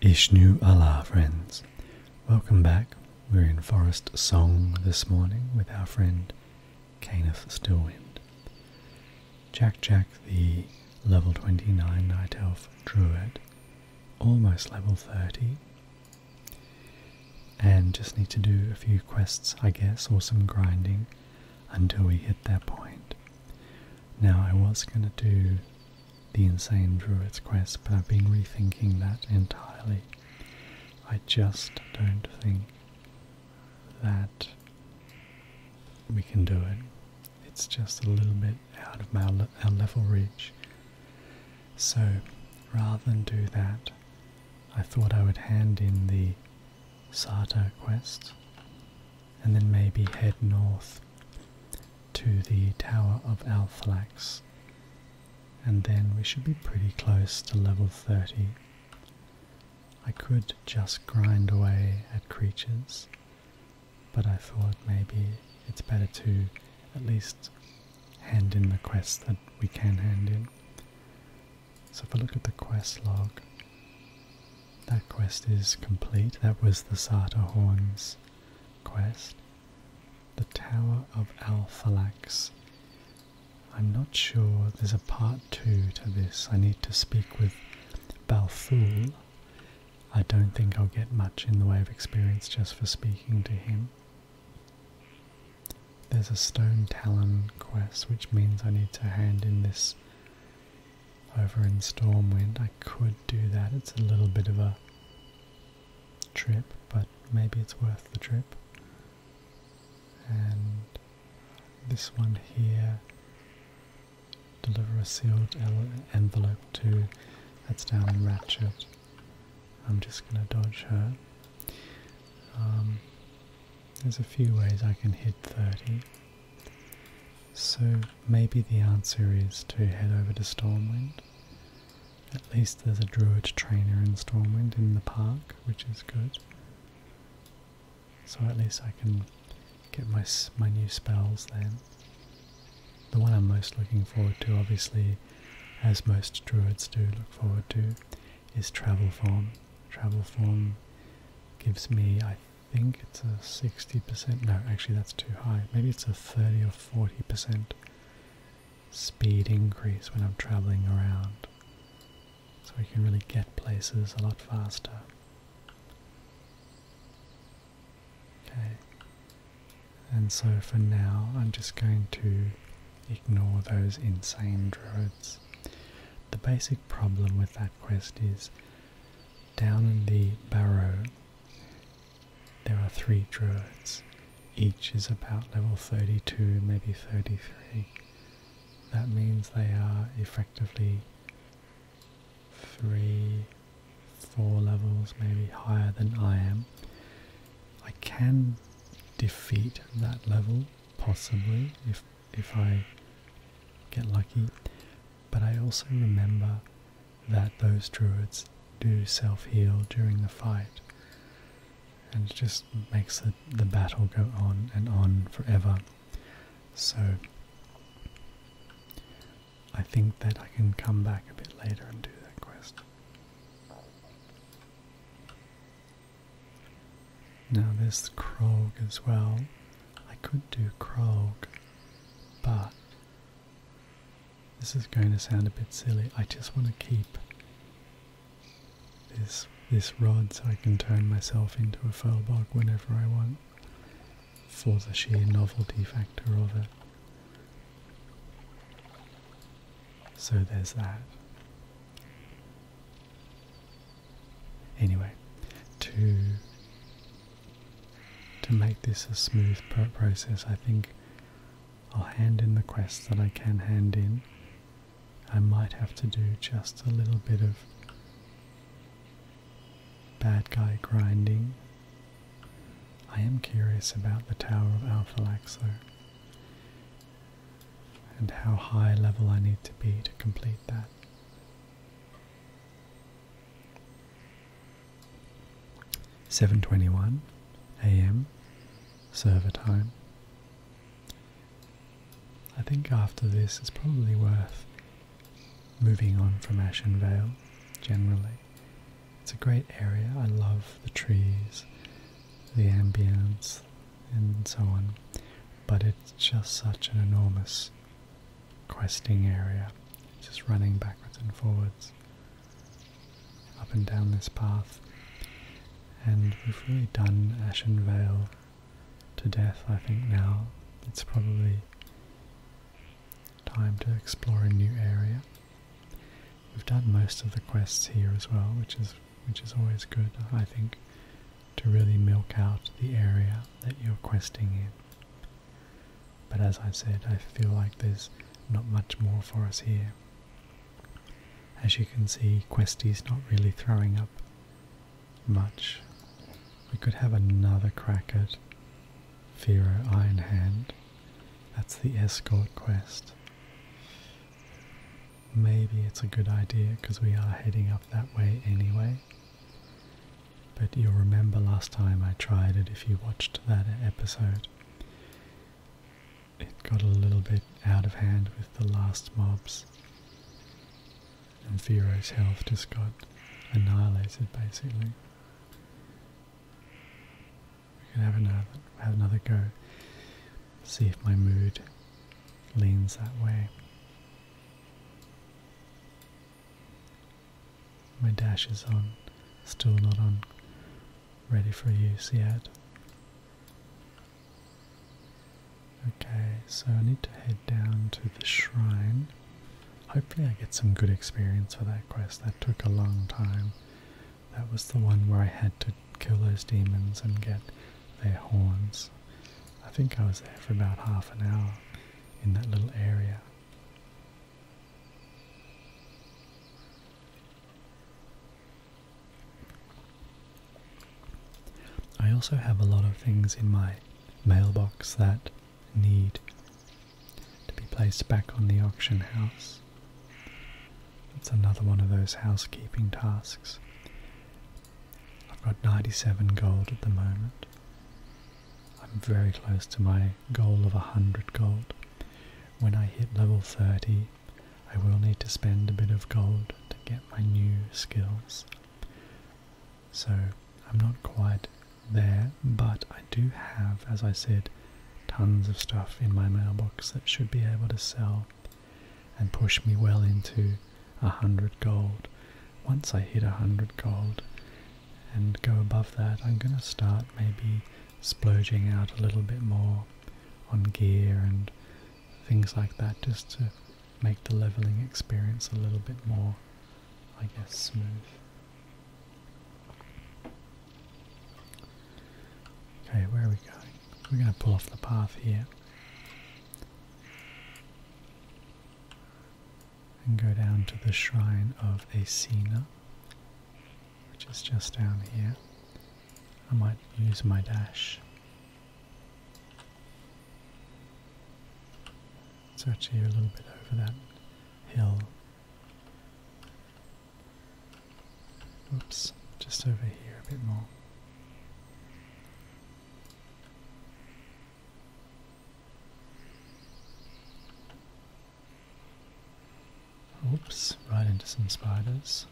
Ishnu Allah, friends. Welcome back. We're in Forest Song this morning with our friend Canis Stillwind. Jack Jack, the level 29 Night Elf Druid, almost level 30, and just need to do a few quests, I guess, or some grinding until we hit that point. Now, I was going to do the Insane Druids quest, but I've been rethinking that entirely. I just don't think that we can do it. It's just a little bit out of our, level reach. So, rather than do that, I thought I would hand in the Sata quest and then maybe head north to the Tower of Alphalax. And then we should be pretty close to level 30. I could just grind away at creatures, but I thought maybe it's better to at least hand in the quest that we can hand in. So if I look at the quest log, that quest is complete. That was the Sata Horns quest. The Tower of Alphalax. I'm not sure there's a part two to this. I need to speak with Balthul. I don't think I'll get much in the way of experience just for speaking to him. There's a stone talon quest, which means I need to hand in this over in Stormwind. I could do that. It's a little bit of a trip, but maybe it's worth the trip. And this one here, deliver a sealed envelope to, that's down in Ratchet. I'm just going to dodge her. Um, there's a few ways I can hit 30. So maybe the answer is to head over to Stormwind. At least there's a druid trainer in Stormwind in the park, which is good. So at least I can get my, my new spells then. The one I'm most looking forward to, obviously, as most druids do look forward to, is Travel Form. Travel Form gives me, I I think it's a 60%. No, actually, that's too high. Maybe it's a 30 or 40% speed increase when I'm traveling around. So we can really get places a lot faster. Okay. And so for now, I'm just going to ignore those insane druids. The basic problem with that quest is down in the barrow there are three druids. Each is about level 32, maybe 33. That means they are effectively three, four levels maybe higher than I am. I can defeat that level, possibly, if, if I get lucky. But I also remember that those druids do self-heal during the fight. And it just makes the, the battle go on and on forever. So I think that I can come back a bit later and do that quest. Now this Krog as well. I could do Krog, but this is going to sound a bit silly. I just want to keep this this rod so I can turn myself into a furlbog whenever I want for the sheer novelty factor of it. So there's that. Anyway, two. To make this a smooth process, I think I'll hand in the quests that I can hand in. I might have to do just a little bit of bad guy grinding. I am curious about the Tower of Alphalax though, and how high level I need to be to complete that. 7:21 a.m. server time. I think after this it's probably worth moving on from Ashen Vale generally. It's a great area. I love the trees, the ambience and so on. But it's just such an enormous questing area, just running backwards and forwards up and down this path. And we've really done Ashen Vale to death, I think, now. It's probably time to explore a new area. We've done most of the quests here as well, which is which is always good, I think, to really milk out the area that you're questing in. But as I said, I feel like there's not much more for us here. As you can see, Questy's not really throwing up much. We could have another crack at Vero Ironhand. That's the escort quest. Maybe it's a good idea because we are heading up that way anyway. But you'll remember last time I tried it if you watched that episode. It got a little bit out of hand with the last mobs. And Thero's health just got annihilated basically. We can have another have another go. See if my mood leans that way. My dash is on, still not on, ready for use yet. Okay, so I need to head down to the shrine. Hopefully, I get some good experience for that quest. That took a long time. That was the one where I had to kill those demons and get their horns. I think I was there for about half an hour in that little area. I also have a lot of things in my mailbox that need to be placed back on the auction house. It's another one of those housekeeping tasks. I've got 97 gold at the moment. I'm very close to my goal of 100 gold. When I hit level 30, I will need to spend a bit of gold to get my new skills. So I'm not quite there, but I do have, as I said, tons of stuff in my mailbox that should be able to sell and push me well into a 100 gold. Once I hit a 100 gold, and go above that, I'm going to start maybe splurging out a little bit more on gear and things like that just to make the leveling experience a little bit more, I guess, smooth. Okay, where are we going? We're going to pull off the path here and go down to the shrine of Acena, which is just down here. I might use my dash. It's actually a little bit over that hill. Oops, just over here a bit more. Oops, right into some spiders.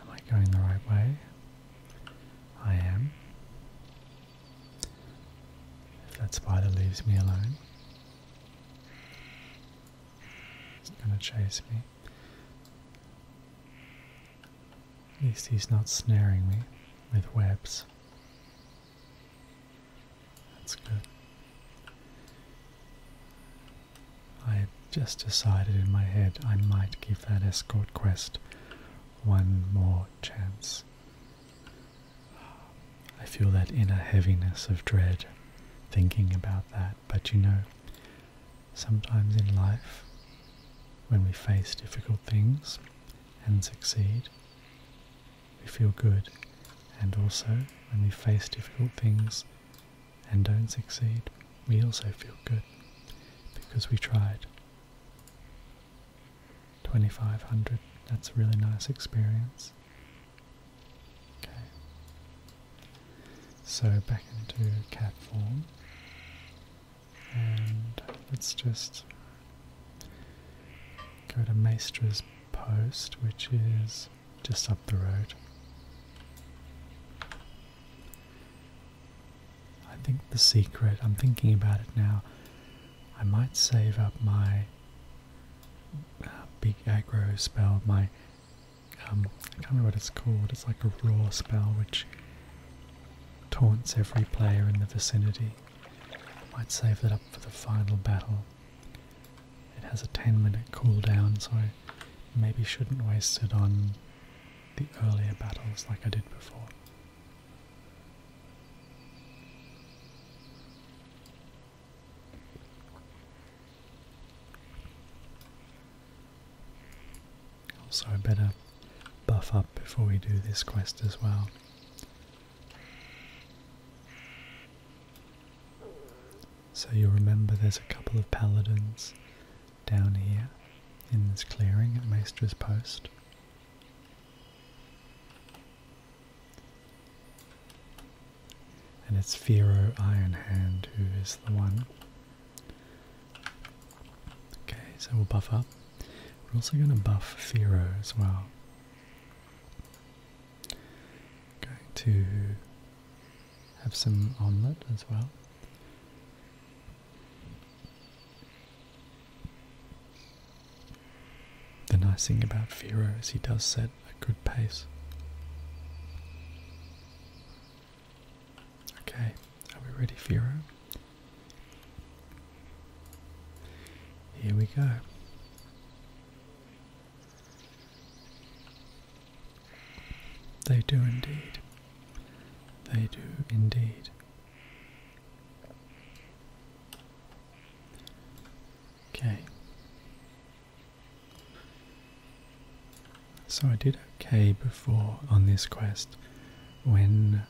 Am I going the right way? I am. If that spider leaves me alone. He's gonna chase me. At least he's not snaring me with webs. That's good. I just decided in my head I might give that escort quest one more chance. I feel that inner heaviness of dread thinking about that. But you know, sometimes in life, when we face difficult things and succeed, we feel good. And also, when we face difficult things and don't succeed, we also feel good because we tried. 2500, that's a really nice experience. Okay. So back into cat form. And let's just go to Maestra's post, which is just up the road. I think the secret, I'm thinking about it now, I might save up my uh, big aggro spell, my um, I can't remember what it's called. It's like a raw spell which taunts every player in the vicinity. I might save that up for the final battle. It has a 10 minute cooldown, so maybe shouldn't waste it on the earlier battles like I did before. Also, I better buff up before we do this quest as well. So you'll remember there's a couple of paladins down here in this clearing at Maestra's Post. And it's Fero Ironhand who is the one. Okay, so we'll buff up. We're also going to buff Fero as well. Going to have some omelette as well. The nice thing about Fero is he does set a good pace. Okay, are we ready, Firo? Here we go. They do indeed. They do indeed. Okay. So I did okay before on this quest when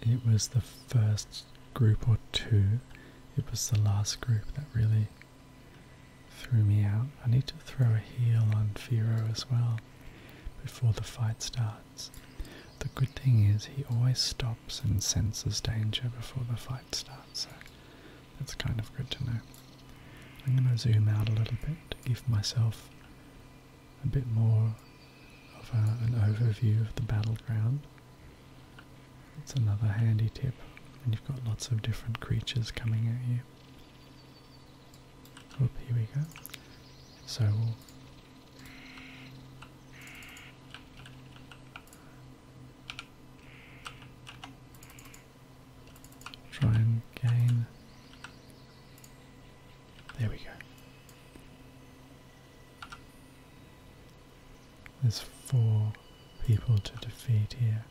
it was the first group or two. It was the last group that really threw me out. I need to throw a heel on Firo as well before the fight starts. The good thing is he always stops and senses danger before the fight starts. That's kind of good to know. I'm going to zoom out a little bit to give myself a bit more of an overview of the battleground. It's another handy tip when you've got lots of different creatures coming at you. Oop, here we go. So Try again. There we go. There's four people to defeat here.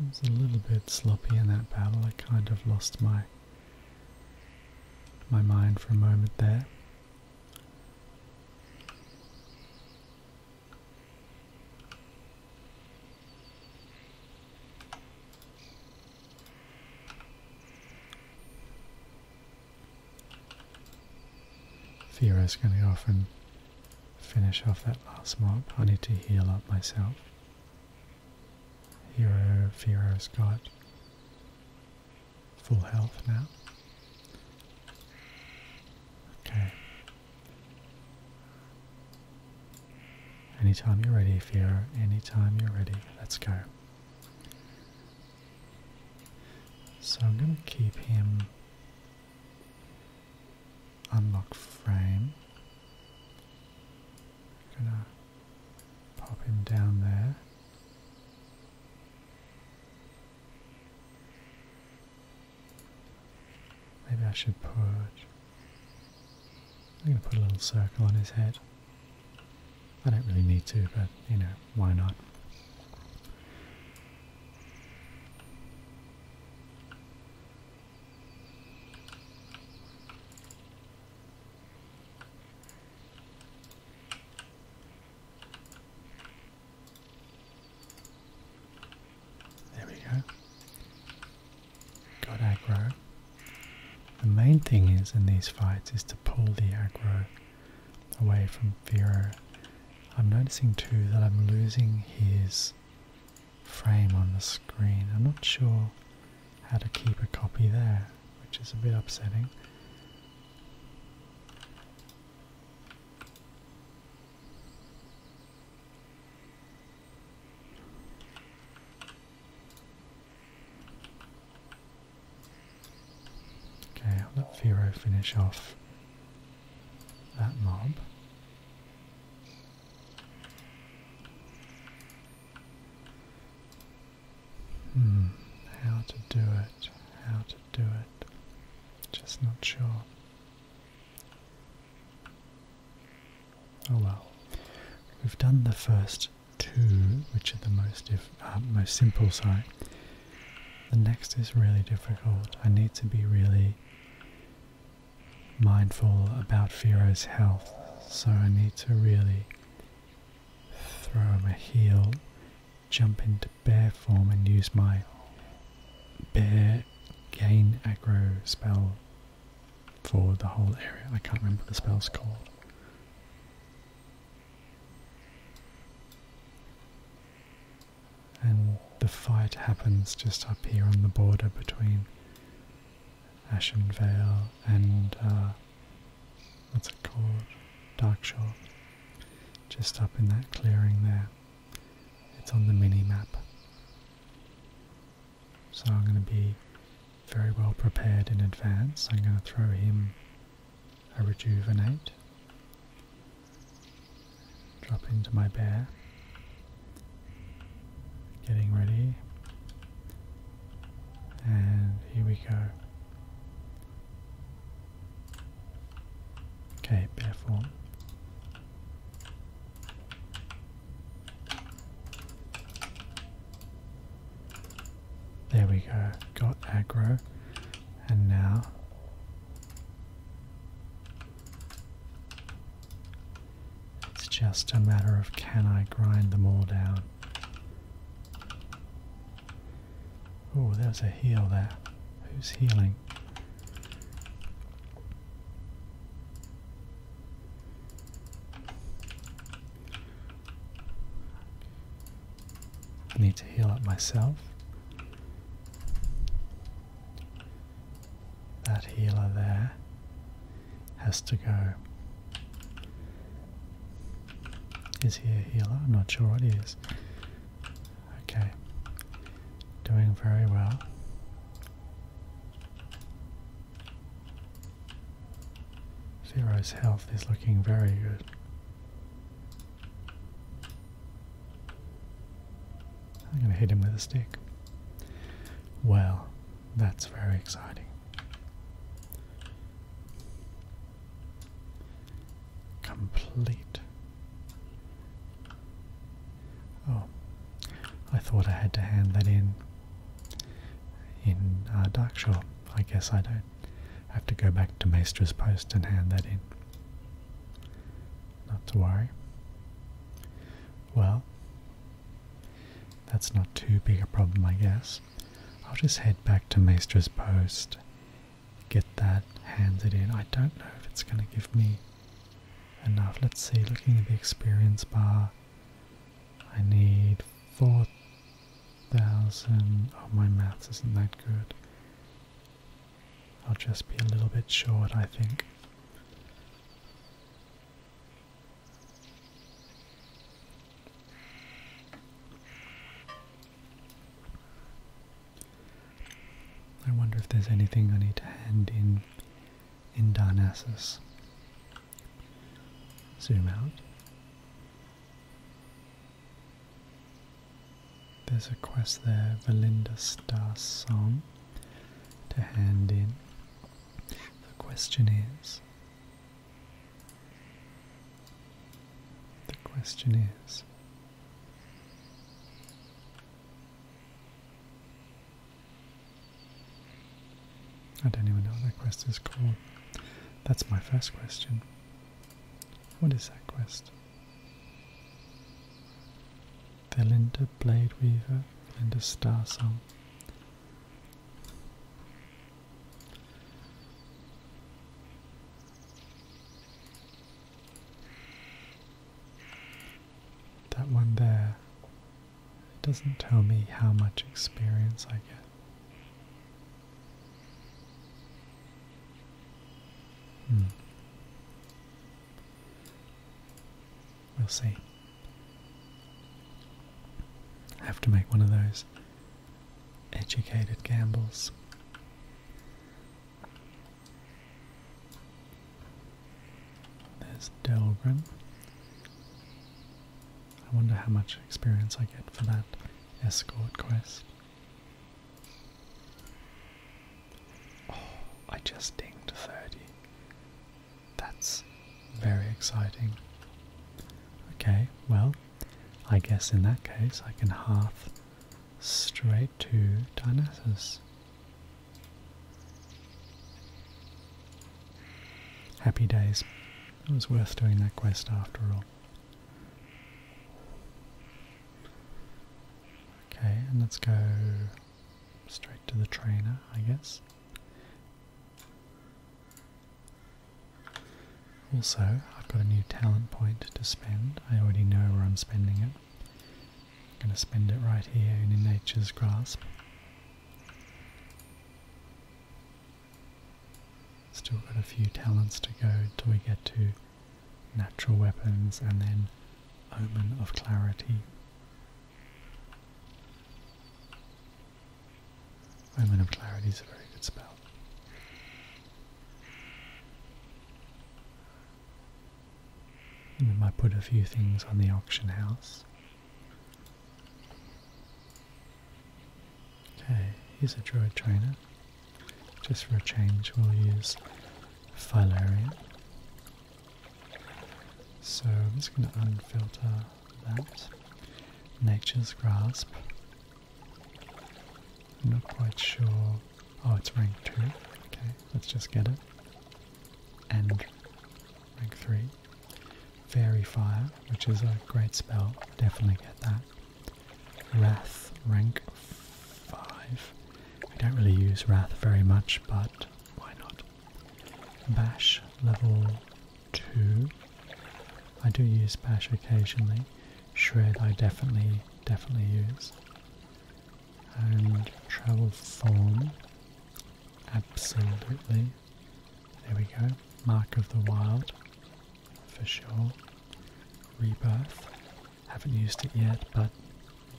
It was a little bit sloppy in that battle. I kind of lost my my mind for a moment there. Theo's going to often finish off that last mob. I need to heal up myself. Hero, Theo's got full health now. Okay, Anytime you're ready, Fiora. Anytime you're ready. Let's go. So I'm going to keep him unlock frame. I'm going to pop him down there. Maybe I should put. I'm going to put a little circle on his head. I don't really need to, but you know, why not? There we go. Got aggro. The main thing is in these fights is to pull the aggro away from Vero. I'm noticing too that I'm losing his frame on the screen. I'm not sure how to keep a copy there, which is a bit upsetting. Okay, let Vero finish off that mob. Hmm, how to do it, how to do it, just not sure. Oh well, we've done the first two, which are the most uh, most simple. Sorry. The next is really difficult. I need to be really mindful about Firo's health, so I need to really throw him a heel, jump into bear form, and use my bear gain agro spell for the whole area. I can't remember the spell's called. And the fight happens just up here on the border between Ashen Vale and uh, what's it called? Darkshore. Just up in that clearing there. It's on the mini map. So I'm going to be very well prepared in advance. I'm going to throw him a rejuvenate, drop into my bear, getting ready, and here we go. Okay, bear form. There we go, got aggro. And now. It's just a matter of can I grind them all down? Oh, there's a heal there. Who's healing? I need to heal up myself. That healer there has to go. Is he a healer? I'm not sure what he is. Okay. Doing very well. Zero's health is looking very good. I'm going to hit him with a stick. Well, that's very exciting. Complete. Oh, I thought I had to hand that in in uh, Darkshore. I guess I don't have to go back to Maestra's post and hand that in. Not to worry. Well, that's not too big a problem, I guess. I'll just head back to Maestra's post, get that handed in. I don't know if it's going to give me and now let's see. looking at the experience bar, I need 4,000. Oh, my maths isn't that good. I'll just be a little bit short, I think. I wonder if there's anything I need to hand in in Darnassus. Zoom out. There's a quest there, Valinda Star Song, to hand in. The question is, the question is, I don't even know what that quest is called. That's my first question. What is that quest? Valinda Blade Weaver, and Valinda Star Song. That one there it doesn't tell me how much experience I get. Hmm. We'll see. I have to make one of those educated gambles. There's Delgrim. I wonder how much experience I get for that escort quest. Oh, I just dinged 30. That's very exciting. Okay, well, I guess in that case I can half straight to Dionysus. Happy days. It was worth doing that quest after all. Okay, and let's go straight to the trainer, I guess. Also, I've got a new talent point to spend. I already know where I'm spending it. I'm going to spend it right here in nature's grasp. Still got a few talents to go till we get to natural weapons and then omen of clarity. Omen of clarity is a very good spell. And we might put a few things on the auction house. Okay, here's a druid trainer. Just for a change, we'll use Philarion. So I'm just going to unfilter that. Nature's Grasp. I'm not quite sure. Oh, it's rank 2. Okay, let's just get it. And rank 3. Fairy Fire, which is a great spell, definitely get that. Wrath, rank 5. I don't really use Wrath very much, but why not? Bash, level 2. I do use Bash occasionally. Shred, I definitely, definitely use. And Travel form. Absolutely. There we go. Mark of the Wild. For sure. Rebirth. Haven't used it yet, but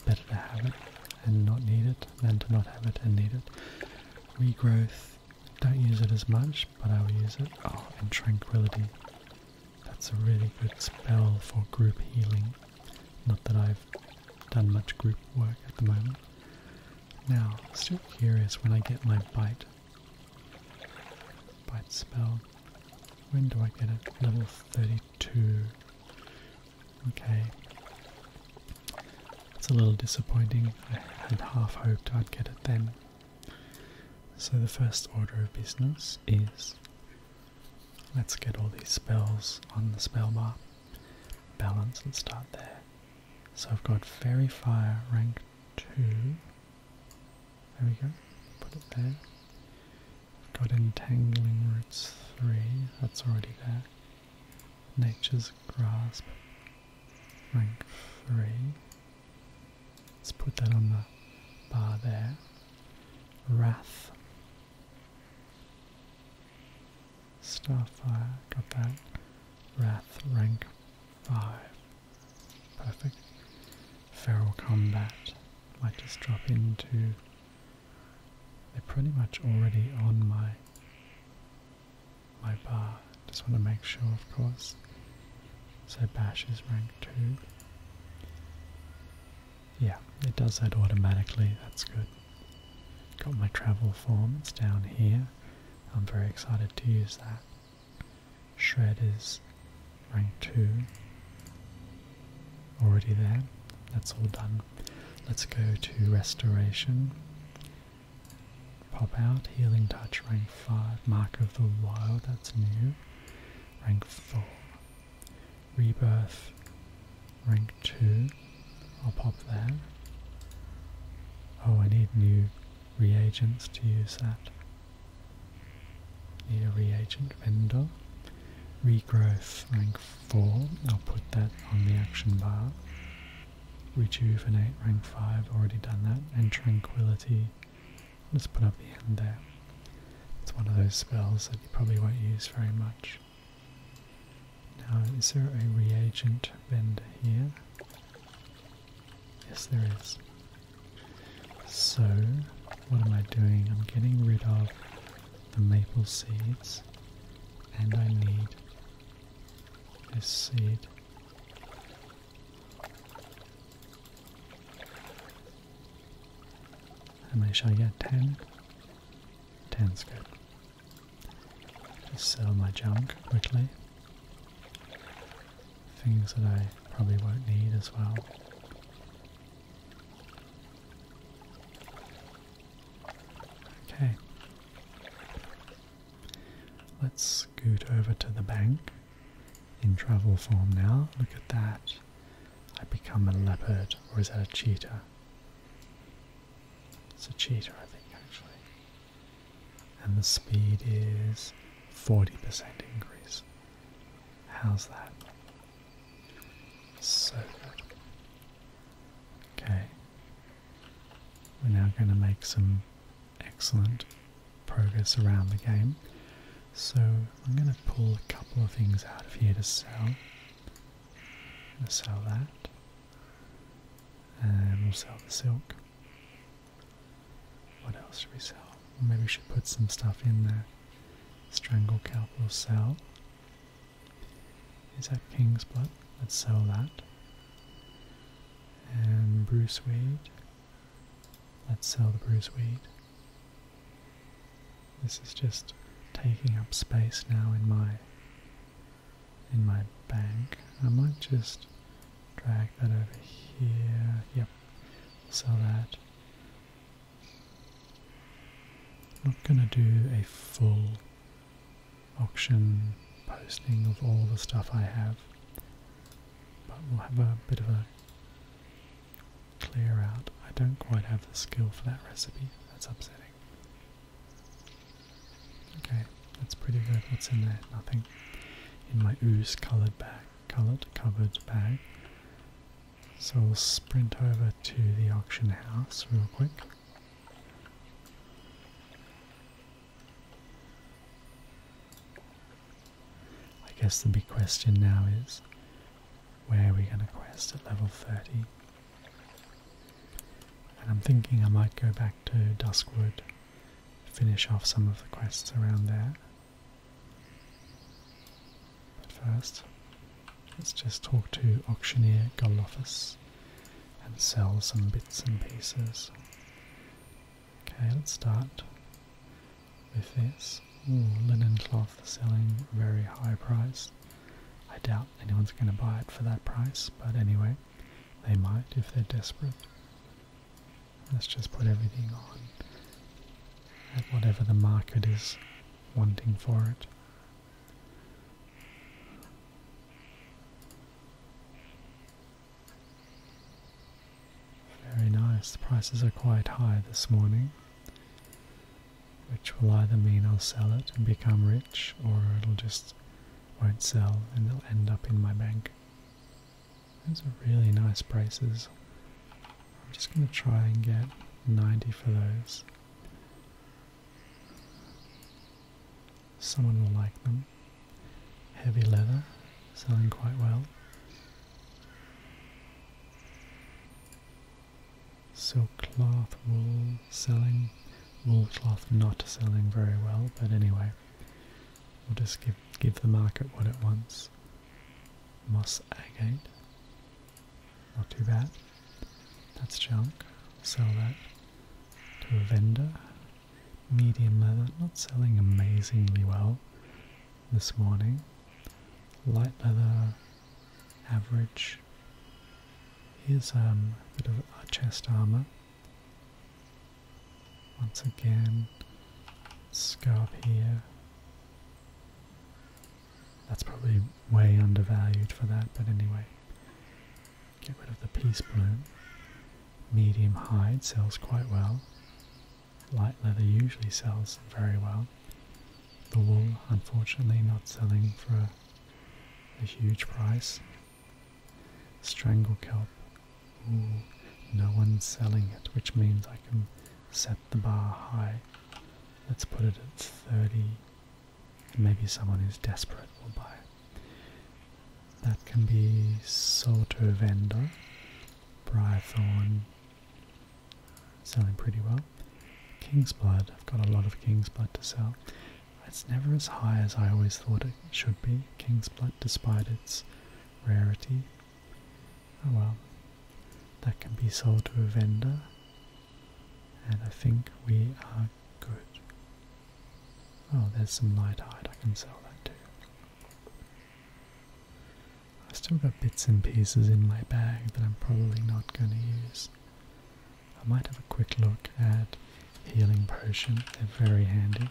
better to have it and not need it than to not have it and need it. Regrowth. Don't use it as much, but I will use it. Oh, and Tranquility. That's a really good spell for group healing. Not that I've done much group work at the moment. Now, still curious when I get my bite. Bite spell. When do I get it? Level 32. Okay. It's a little disappointing. I had half hoped I'd get it then. So the first order of business is let's get all these spells on the spell bar. Balance, and start there. So I've got Fairy Fire rank 2. There we go. Put it there. got Entangling Roots 3. That's already there. Nature's Grasp rank 3. Let's put that on the bar there. Wrath Starfire, uh, got that. Wrath rank 5. Perfect. Feral Combat, I just drop into. They're pretty much already on my my bar. Just want to make sure, of course. So Bash is rank 2. Yeah, it does that automatically, that's good. Got my travel form, it's down here. I'm very excited to use that. Shred is rank 2. Already there. That's all done. Let's go to Restoration. Pop out, Healing Touch, rank 5. Mark of the Wild, that's new. Rank 4. Rebirth, rank 2. I'll pop that. Oh, I need new reagents to use that. Need a reagent vendor. Regrowth rank 4. I'll put that on the action bar. Rejuvenate rank 5. Already done that. And Tranquility. Let's put up the end there. It's one of those spells that you probably won't use very much. Now, is there a reagent vendor here? Yes, there is. So, what am I doing? I'm getting rid of the maple seeds, and I need this seed. How I shall I get? Ten? Ten's good. Just sell my junk quickly. Things that I probably won't need as well. Okay. Let's scoot over to the bank in travel form now. Look at that. I become a leopard, or is that a cheetah? It's a cheetah, I think, actually and the speed is 40% increase. How's that? So Okay. We're now going to make some excellent progress around the game. So I'm going to pull a couple of things out of here to sell. going to sell that. And um, we'll sell the silk. What else should we sell? Maybe we should put some stuff in there. Strangle Kelp will sell. Is that King's Blood? Let's sell that. And um, Bruce Weed. Let's sell the Bruce Weed. This is just taking up space now in my in my bank. I might just drag that over here. Yep, So that. I'm not going to do a full auction posting of all the stuff I have, but we'll have a bit of a clear out. I don't quite have the skill for that recipe, that's upsetting. Okay, that's pretty good. What's in there? Nothing. In my ooze coloured bag, coloured covered bag. So we'll sprint over to the auction house real quick. I guess the big question now is where are we going to quest at level 30? And I'm thinking I might go back to Duskwood, finish off some of the quests around there. But first, let's just talk to Auctioneer Golophus and sell some bits and pieces. Okay, let's start with this. Ooh, linen cloth selling very high price. I doubt anyone's going to buy it for that price, but anyway. They might if they're desperate. Let's just put everything on at whatever the market is wanting for it. Very nice. The prices are quite high this morning, which will either mean I'll sell it and become rich, or it'll just won't sell and they'll end up in my bank. Those are really nice braces. I'm just going to try and get 90 for those. Someone will like them. Heavy leather, selling quite well. Silk cloth wool selling Wool cloth not selling very well, but anyway, we'll just give, give the market what it wants. Moss agate, not too bad. That's junk, sell that to a vendor. Medium leather, not selling amazingly well this morning. Light leather, average. Here's um, a bit of chest armour. Once again, let's go up here. That's probably way undervalued for that, but anyway. Get rid of the peace bloom. Medium hide sells quite well. Light leather usually sells very well. The wool, unfortunately, not selling for a huge price. Strangle kelp. no one's selling it, which means I can set the bar high. Let's put it at 30. Maybe someone who's desperate will buy it. That can be sold to a Vendor, Briarthorn, selling pretty well. King's Blood, I've got a lot of King's Blood to sell. It's never as high as I always thought it should be, King's Blood, despite its rarity. Oh well, that can be sold to a vendor, and I think we are good. Oh, there's some light hide, I can sell that too. I've still got bits and pieces in my bag that I'm probably not going to use. I might have a quick look at healing potion. They're very handy.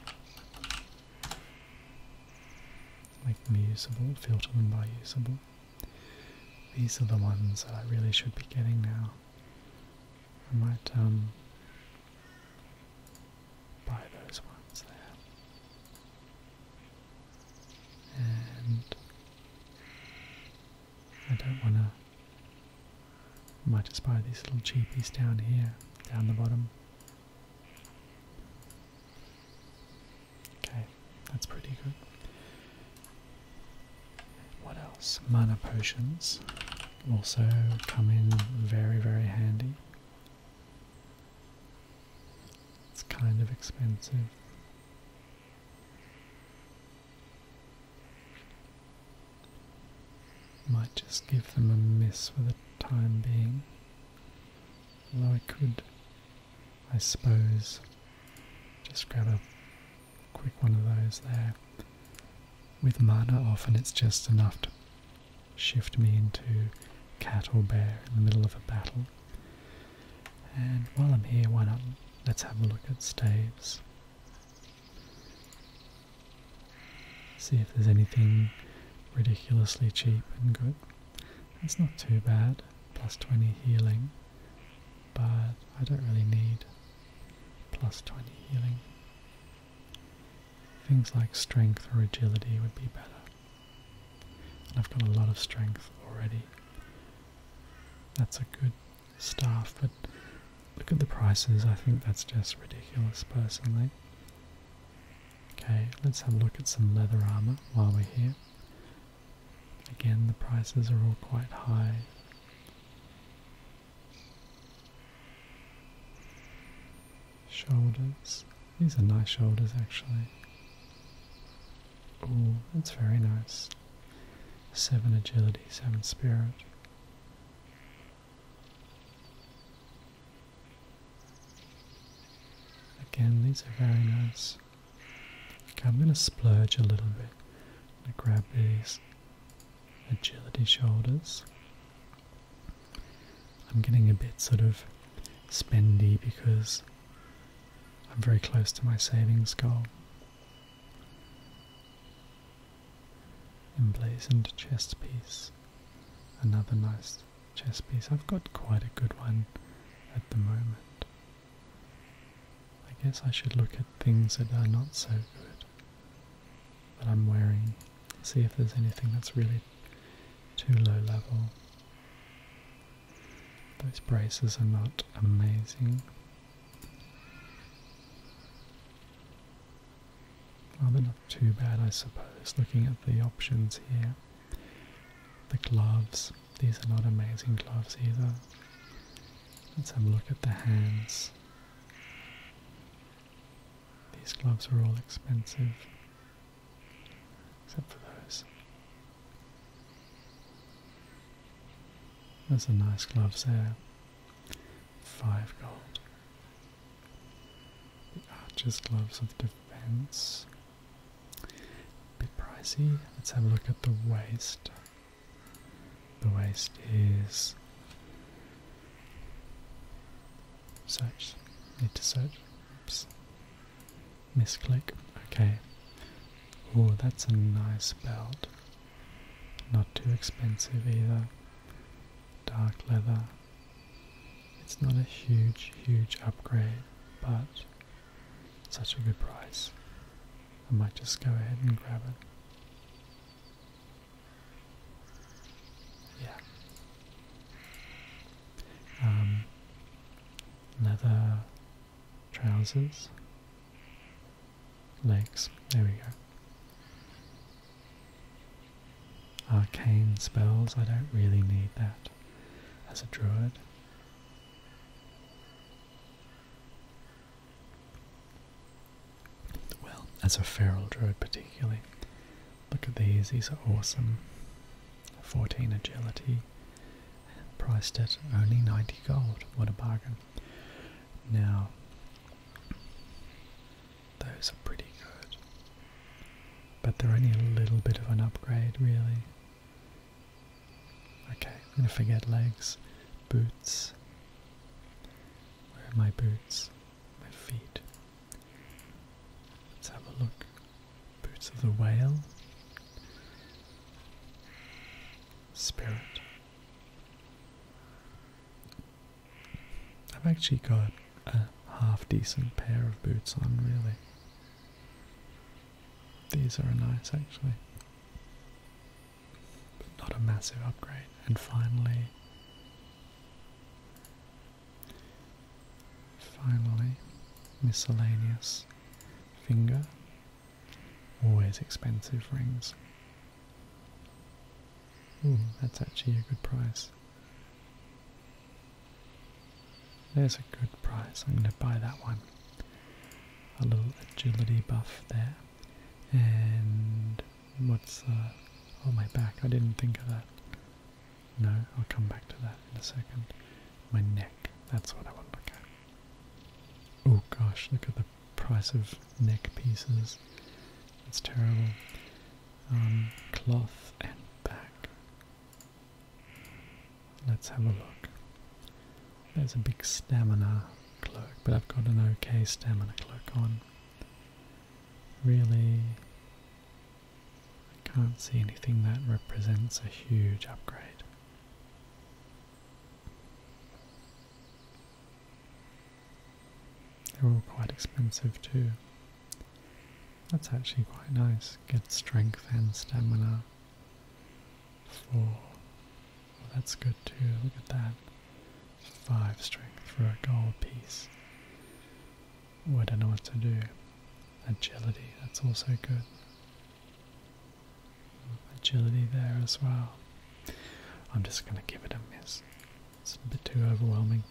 Make them usable, filter them by usable. These are the ones that I really should be getting now. I might um, buy those ones there. And I don't want to might just buy these little cheapies down here, down the bottom. Okay, that's pretty good. What else? Mana potions also come in very, very handy. It's kind of expensive. Might just give them a miss for the time being. Although I could, I suppose, just grab a quick one of those there. With mana, often it's just enough to shift me into cat or bear in the middle of a battle. And while I'm here, why not? Let's have a look at staves. See if there's anything ridiculously cheap and good. It's not too bad, plus 20 healing, but I don't really need plus 20 healing. Things like strength or agility would be better. I've got a lot of strength already. That's a good staff, but Look at the prices, I think that's just ridiculous personally. Okay, let's have a look at some leather armour while we're here. Again, the prices are all quite high. Shoulders. These are nice shoulders actually. Oh, that's very nice. Seven agility, seven spirit. Again, these are very nice. I'm going to splurge a little bit. I'm going to grab these agility shoulders. I'm getting a bit sort of spendy because I'm very close to my savings goal. Emblazoned chest piece. Another nice chest piece. I've got quite a good one at the moment. I guess I should look at things that are not so good that I'm wearing. See if there's anything that's really too low level. Those braces are not amazing. Rather not too bad, I suppose, looking at the options here. The gloves, these are not amazing gloves either. Let's have a look at the hands. These gloves are all expensive, except for those. That's a nice glove there. Five gold. The Archer's Gloves of Defense. Bit pricey. Let's have a look at the waist. The waist is. Search. Need to search. Oops. Misclick. Okay. Oh, that's a nice belt. Not too expensive either. Dark leather. It's not a huge, huge upgrade, but such a good price. I might just go ahead and grab it. Yeah. Um, leather trousers, legs, there we go. Arcane spells, I don't really need that as a druid. Well, as a feral druid particularly. Look at these, these are awesome. 14 agility, priced at only 90 gold, what a bargain. Now, those are pretty good. But they're only a little bit of an upgrade, really. Okay, I'm gonna forget legs. Boots. Where are my boots? My feet. Let's have a look. Boots of the whale. Spirit. I've actually got a half decent pair of boots on, really. These are nice actually, but not a massive upgrade. And finally, finally, miscellaneous finger. Always expensive rings. Hmm, that's actually a good price. There's a good price. I'm going to buy that one. A little agility buff there. And what's uh, on my back? I didn't think of that. No, I'll come back to that in a second. My neck. That's what I want to look Oh gosh, look at the price of neck pieces. It's terrible. Um, cloth and bag. Let's have a look. There's a big stamina cloak, but I've got an okay stamina cloak on. Really, I can't see anything that represents a huge upgrade. They're all quite expensive too. That's actually quite nice. Get strength and stamina. Four. that's good too. Look at that. Five strength for a gold piece. I don't know what to do. Agility. That's also good. Agility there as well. I'm just going to give it a miss. It's a bit too overwhelming.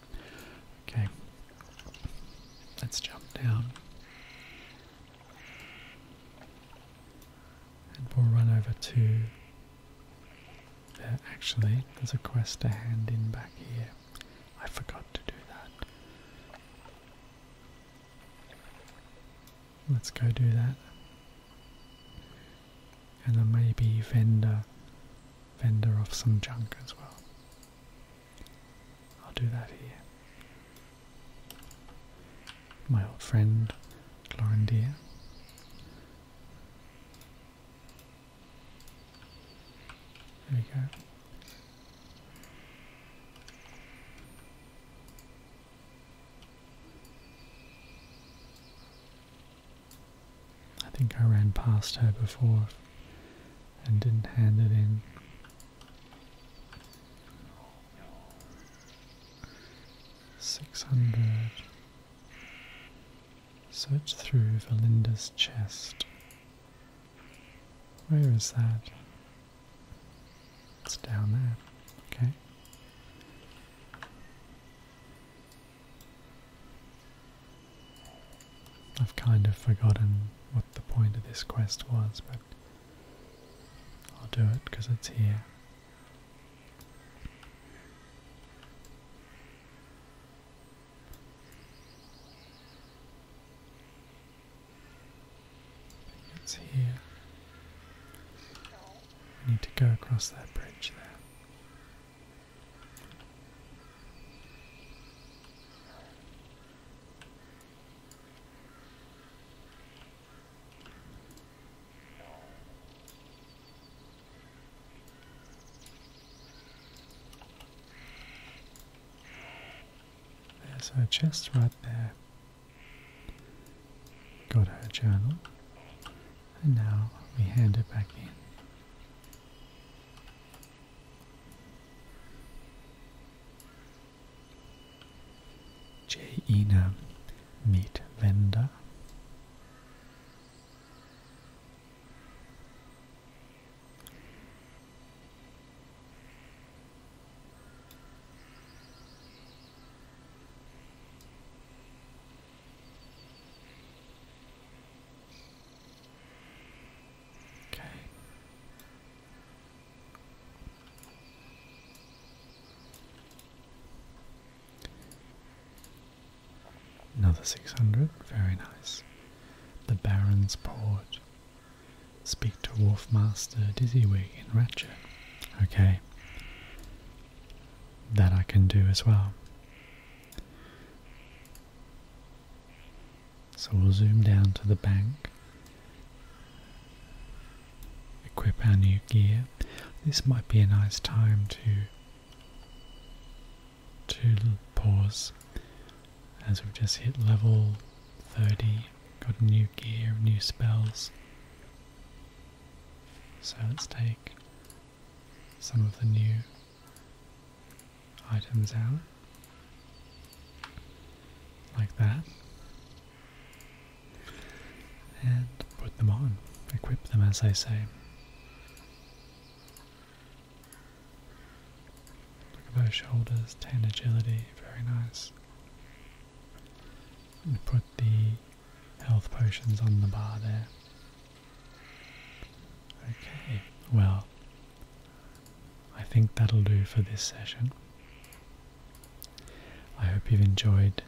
Okay. Let's jump down. And we'll run over to. There, actually, there's a quest to hand in back here. I forgot to do that. Let's go do that. And a maybe vendor vendor off some junk as well. I'll do that here. My old friend Glorindia. There we go. I think I ran past her before and didn't hand it in. Six hundred. Search through Valinda's chest. Where is that? It's down there. Okay. I've kind of forgotten what the point of this quest was, but I'll do it because it's here. It's here. need to go across that bridge there. There's her chest right there. Got her journal. And now we hand it back in. Jaina meat vendor. Okay. Another 600, very nice. The Baron's Port. Speak to Wharf Master Dizzywig in Ratchet. Okay. That I can do as well. So we'll zoom down to the bank, equip our new gear. This might be a nice time to, to pause as we've just hit level 30, got new gear, new spells. So let's take some of the new items out like that and put them on, equip them as I say. Look at those shoulders, 10 agility, very nice. And put the health potions on the bar there. Okay, well, I think that'll do for this session. I hope you've enjoyed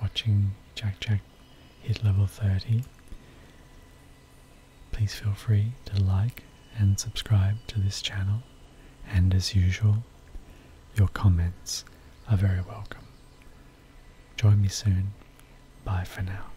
watching Jack Jack hit level 30. Please feel free to like and subscribe to this channel, and as usual, your comments are very welcome. Join me soon. Bye for now.